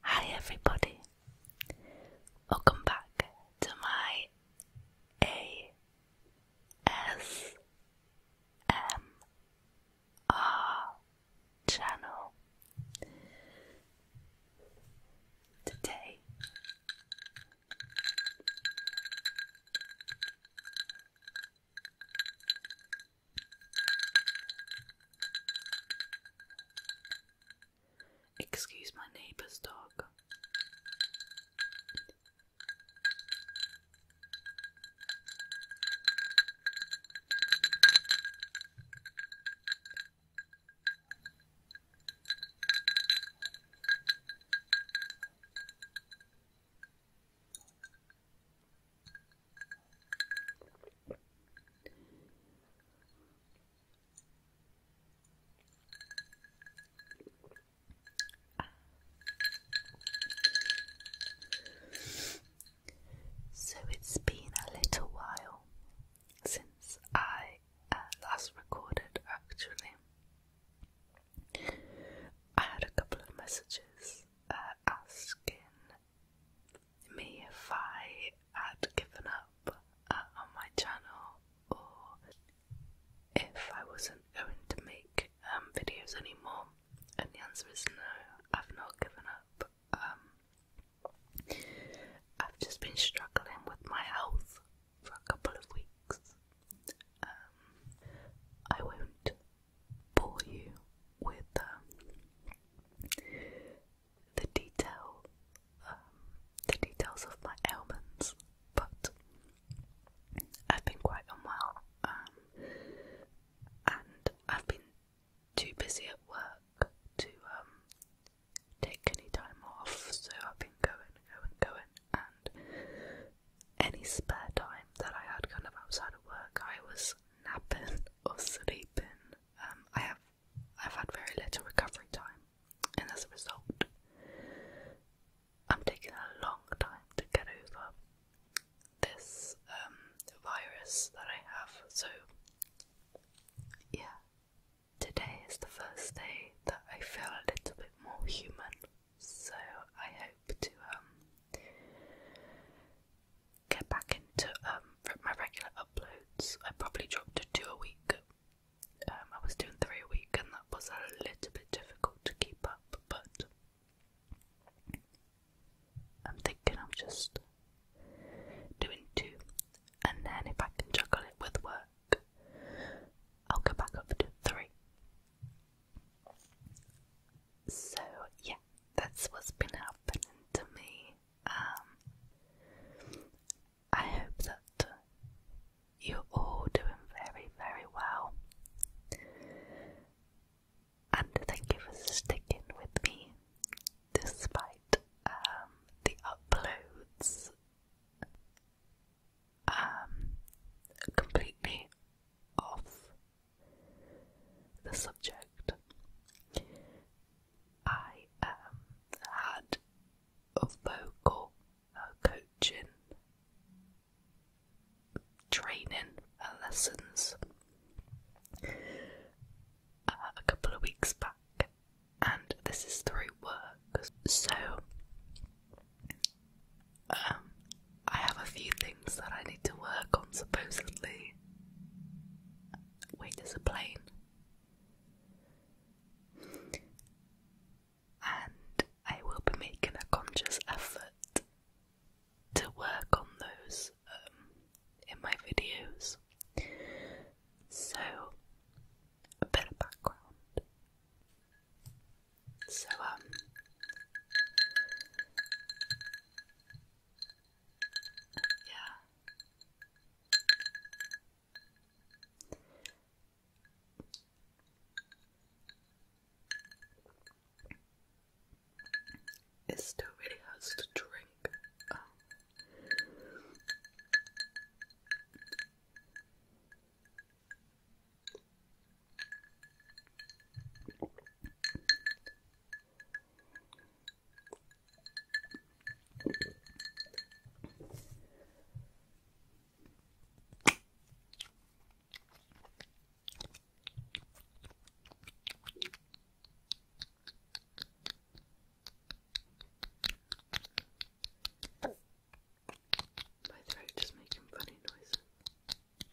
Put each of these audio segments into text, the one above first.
Hi everybody. Welcome back to my A S M R channel. Today Excuse my neighbor's dog. So it's been a little while since I uh, last recorded, actually. I had a couple of messages uh, asking me if I had given up uh, on my channel or if I wasn't going to make um, videos anymore. And the answer is no, I've not given up. Um, I've just been struggling with my health for a couple of weeks. Um, I won't bore you with um, the detail, um, the details of my ailments, but I've been quite unwell, um, and I've been too busy at work to take any time off, so I've been going, going, going, and any spare time that I had kind of outside of work, I was napping or sleeping. Um, I have I've had very little recovery time, and as a result, I'm taking a long time to get over this um, virus that I have. So, yeah, today is the first day that I feel a little bit more human. So I hope to um, get back into um, my regular uploads. I probably dropped a two a week. Um, I was doing three a week, and that was a little bit difficult to keep up, but I'm thinking I'm just doing two, and then if I can juggle it with work, I'll go back up to three. So yeah, that's what's been happening to me. Um, I hope that you're all doing very, very well. And thank you for sticking with me despite um, the uploads um, completely off the subject. I am had of vocal uh, coaching, training, uh, lessons uh, a couple of weeks back, and this is through work. So um, I have a few things that I need to work on, supposedly. Wait, there's a plane. And I will be making a conscious effort to work on those um, in my videos. So, a bit of background. So, um, yeah. It still really hurts to drink. Oh. My throat is making funny noises.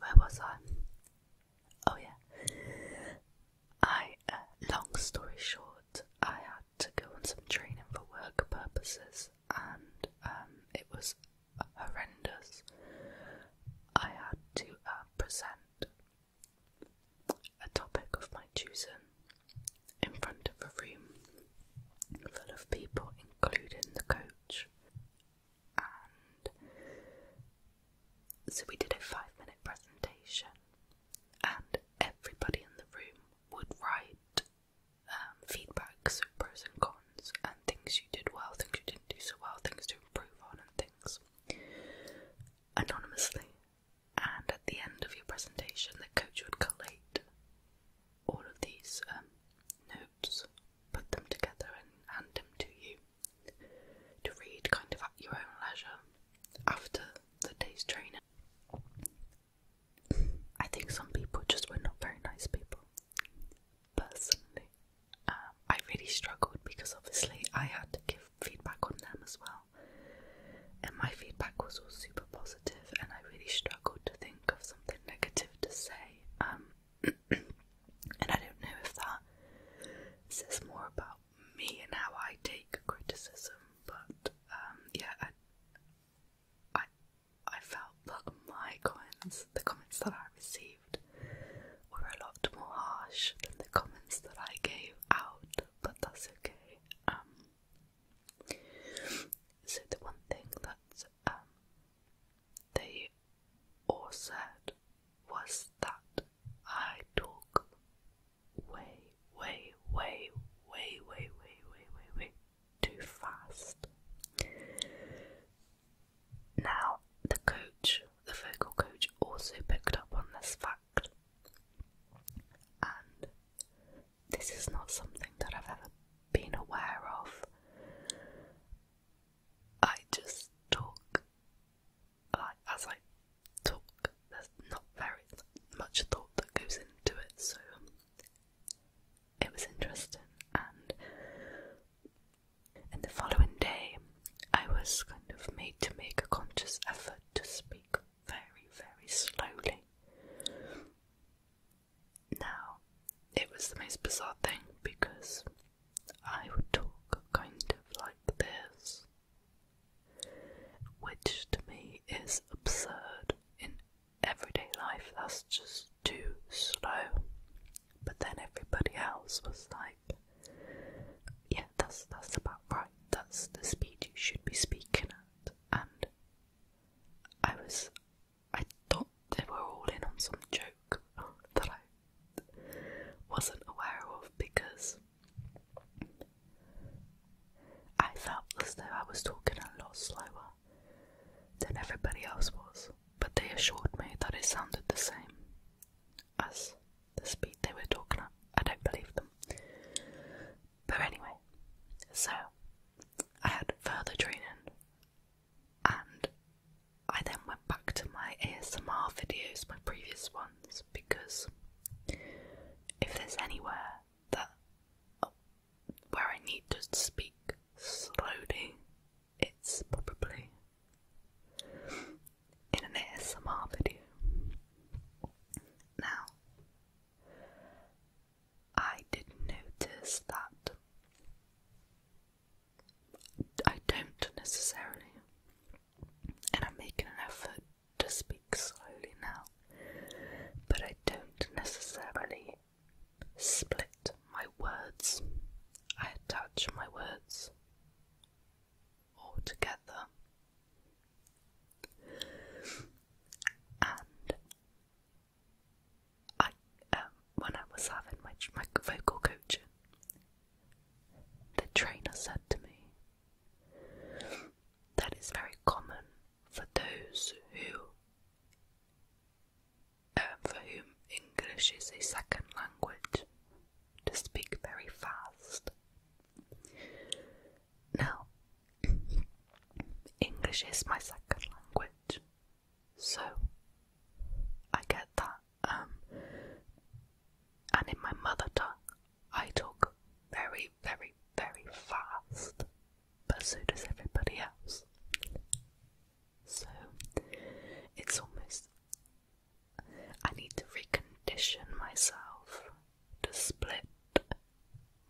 Where was I? Oh, yeah. I, uh, long story short, I had to go on some training for work purposes, and um, it was horrendous. I had to uh, present a topic of my choosing in front of a room full of people, including the coach. And so we did a five minute presentation, and everybody in the room would write um, feedbacks, feedback, pros and cons, and things you did well, things you didn't do so well, things to improve on, and things anonymously, and at the end of your presentation, the coach would collate all of these um, notes, put them together, and hand them to you to read kind of at your own leisure after the day's training. I think some people just were not very nice people personally. Um, I really struggled because obviously I had to give feedback on them as well, and my feedback was all super positive, and I really struggled to think of something negative to say. Um, and I don't know if that says more about me and how I take criticism, but um, yeah, I, I I felt that my comments, the comments that I received received were a lot more harsh than the comments that I gave out, but that's okay. Um, so the one thing that um, they all said was that I talk way, way, way, way, way, way, way, way, way too fast. Now, the coach, the vocal coach, also picked up on this fact. And this is not something that I've ever been aware of. I just talk, like, as I talk, there's not very much thought that goes into it, so it was interesting. And and the following day, I was kind of made to make a conscious effort to speak very, very slowly. Now, it was the most bizarre thing because I would talk kind of like this, which to me is absurd in everyday life. That's just too slow. But then everybody else was like, yeah, that's that's about right. That's the speed you should be speaking at. And I was, I thought they were all in on some joke that I wasn't aware of because I felt as though I was talking a lot slower than everybody else was but they assured me that it sounded the same as the speed they were talking at. I don't believe them. But anyway, so I had further training and I then went back to my ASMR videos, my previous ones, because if there's anywhere that uh, where I need to speak slowly it's probably in an ASMR video. Now, I did notice that I don't necessarily, and I'm making an effort to speak slowly now, but I don't necessarily Split my words. I attach my words all together. And I, um, when I was having my, my vocal coaching, the trainer said to me that it's very common for those who um, for whom English is a second language, to speak very fast. Now, English is my second language, so I get that. Um, and in my mother tongue, I talk very, very, very fast, but so does everybody else. So it's almost. I need to recondition myself to split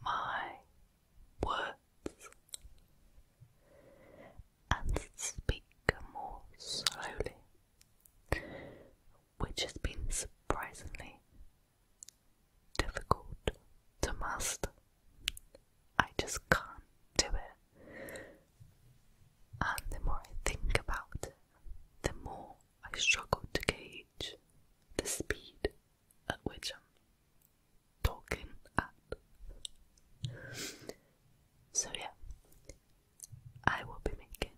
my words and speak more slowly, which has been surprisingly difficult to master. I just can't do it. And the more I think about it, the more I struggle to gauge the speed at which I'm talking at. So, yeah, I will be making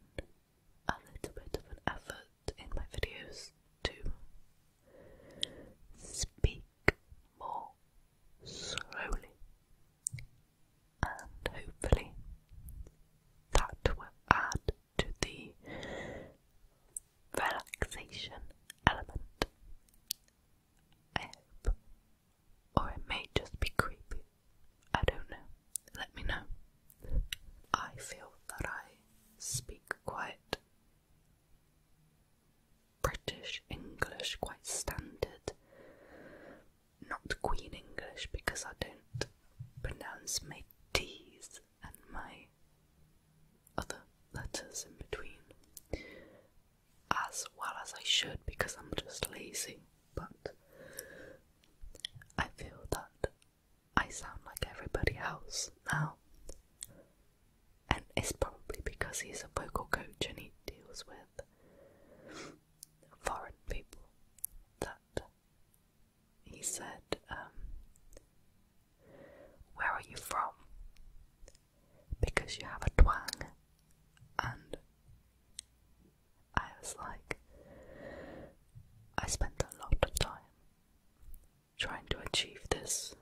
a little bit of an effort in my videos to speak more slowly, and hopefully that will add to the relaxation element. I hope. Or it may just be creepy. I don't know. Let me know. I feel that I speak quite British English, quite standard. Not Queen English because I don't pronounce my T's and my other letters in between as well as I should because I'm just lazy, but I feel that I sound like everybody else now and it's probably because he's a vocal coach and he deals with foreign people that he said, um, Where are you from? Because you have a twang. And I was like, I spent a lot of time trying to achieve this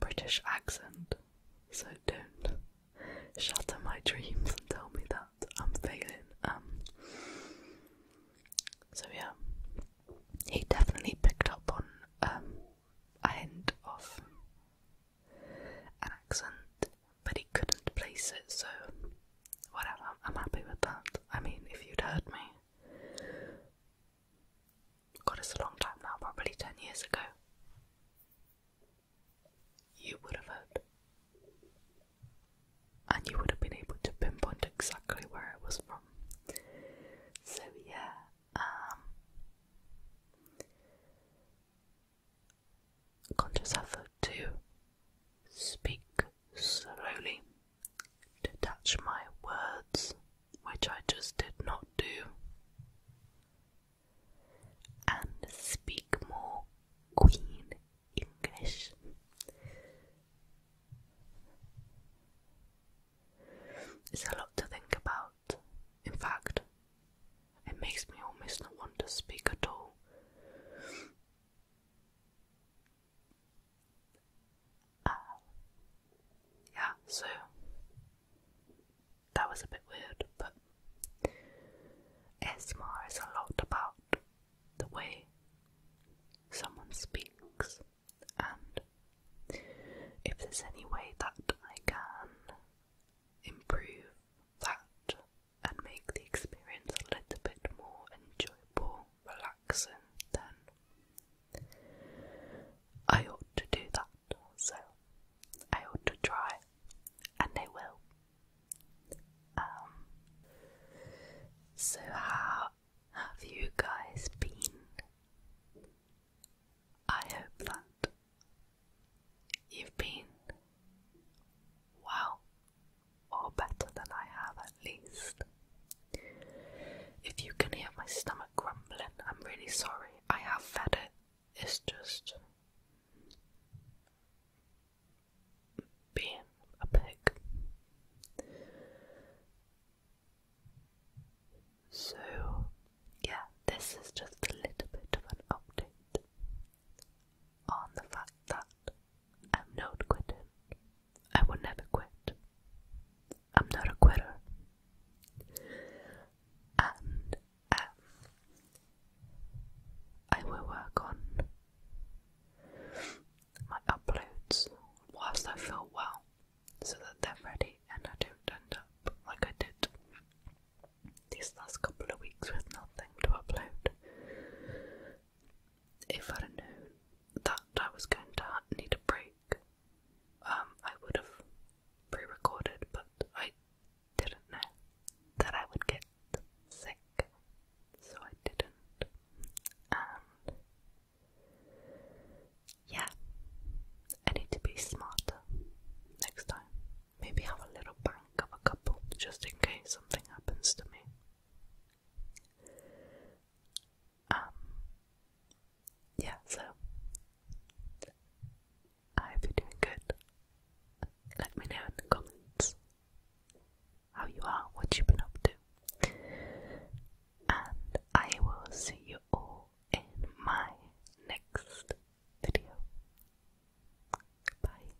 British accent, so don't shatter my dreams and tell me that I'm failing. Um, so yeah, he definitely picked up on um, a hint of an accent, but he couldn't place it, so whatever, I'm happy with that. I mean, if you'd heard me God, it's a long time now, probably 10 years ago. You would have heard. And you would have been able to pinpoint exactly where it was from. So, yeah, um, conscious effort to speak slowly, detach my words which I just did not do, and speak more Queen English. It's a lot to think about. In fact, it makes me almost not want to speak at all yeah, so that was a bit weird, but ASMR is a lot about the way someone speaks, and if there's any way that I can improve that and make the experience a little bit more enjoyable, relaxing then. I ought to do that, so I ought to try, and I will. Um, so, how have you guys been? I hope that you've been well, or better than I have at least. If you can hear my stomach I'm really sorry. I have fed it. It's just being a pig. So, yeah, this is just a little bit of an update on the fact that I'm not quitting. I will never quit. I'm not a quitter. And um, I will work on my uploads whilst I feel well so that they're ready and I don't end up like I did these last couple of weeks with nothing to upload. If I'd known that I was going to need a break, um I would have pre-recorded but I didn't know that I would get sick so I didn't and yeah I need to be smarter next time. Maybe have a little bank of a couple just in case something happens to me. Um, yeah, so I hope you doing good. Let me know in the comments how you are, what you've been up to, and I will see you all in my next video. Bye.